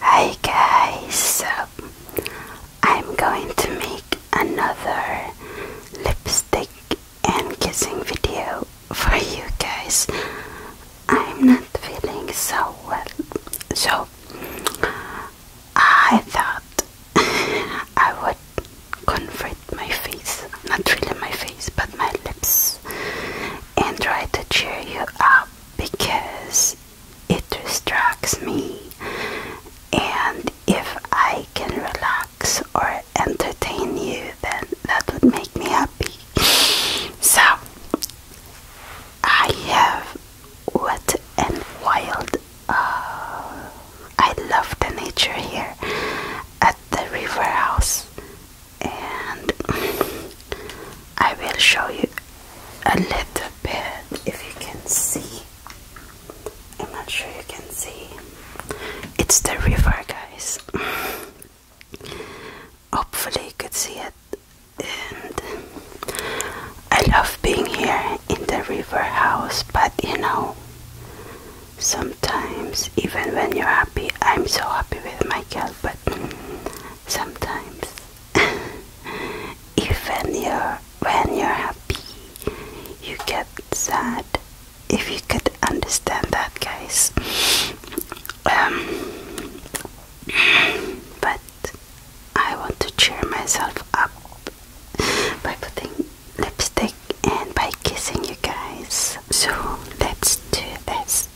Hi guys, so I'm going to make another lipstick and kissing video for you guys. I'm not feeling so well, so I thought I would comfort my face, not really my face, but my lips, and try to cheer you up because it distracts me and if I can relax or entertain you then that would make me happy so I have what and wild uh, I love the nature here at the river house and I will show you a little bit if you can see. I'm not sure you can see. It's the river, guys. Hopefully, you could see it. And I love being here in the river house, but you know, sometimes even when you're happy, I'm so happy with my girl, but sometimes even you're when you're happy you get sad if you could understand that guys um, but I want to cheer myself up by putting lipstick and by kissing you guys so let's do this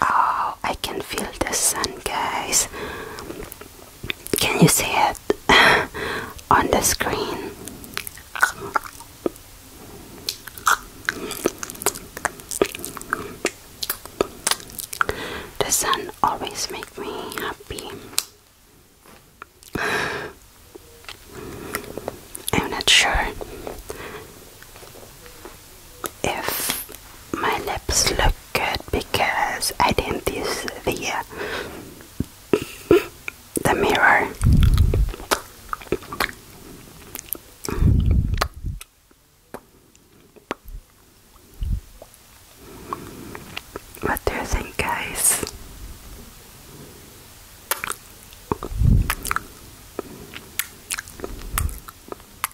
Oh, I can feel the sun, guys. Can you see it on the screen? The sun always makes me happy. I'm not sure if my lips look good because I didn't use the uh, mirror. What do you think, guys?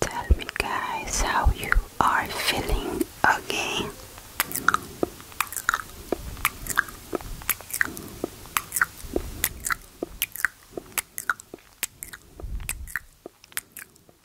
Tell me, guys, how you are feeling again.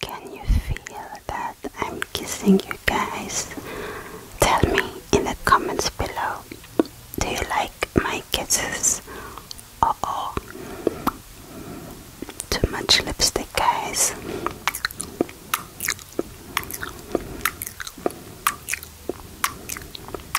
Can you feel that I'm kissing you guys? Tell me in the comments below. Do you like my kisses? Uh oh. Too much lipstick, guys.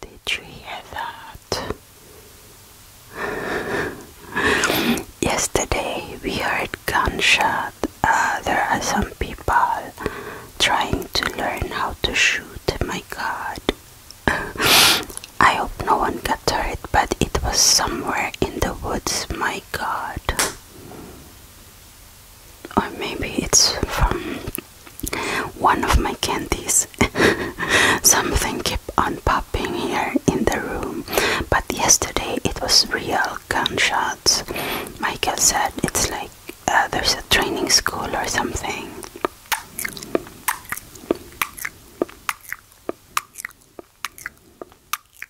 Did you hear that? Yesterday we heard gunshot. Uh, there are some people trying to learn how to shoot. My God. I hope no one got hurt, but it was somewhere in the woods. My God or maybe it's from one of my candies. Something kept on popping here in the room, but yesterday it was real gunshots. Michael said it's like uh, there's a training school or something.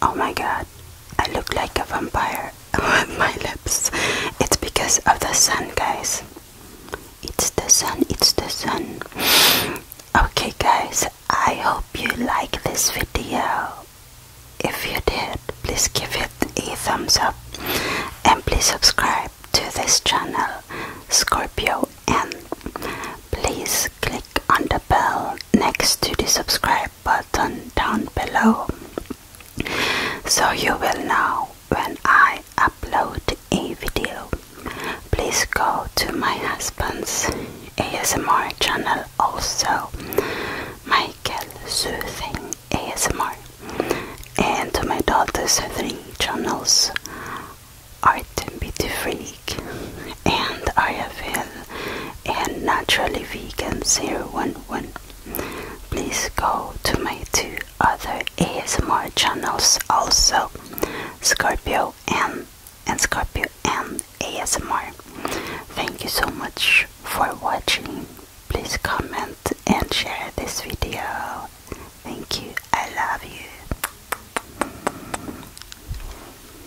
Oh my god, I look like a vampire with my lips. It's because of the sun, guys. It's the sun, it's the sun. Okay, guys, I hope you like this video. If you did, please give it a thumbs up and please subscribe to this channel, Scorpio, and please click on the bell next to the subscribe button down below so you will know when I upload a video. Please go to my husband's ASMR channel also, Michael Soothing ASMR, and to my daughter's three channels, Art Beauty Freak and Ariaville and naturally vegan 011. Please go to my two other ASMR channels also, Scorpio N and Scorpio N ASMR. Thank you so much for watching. Please comment and share this video. Thank you. I love you.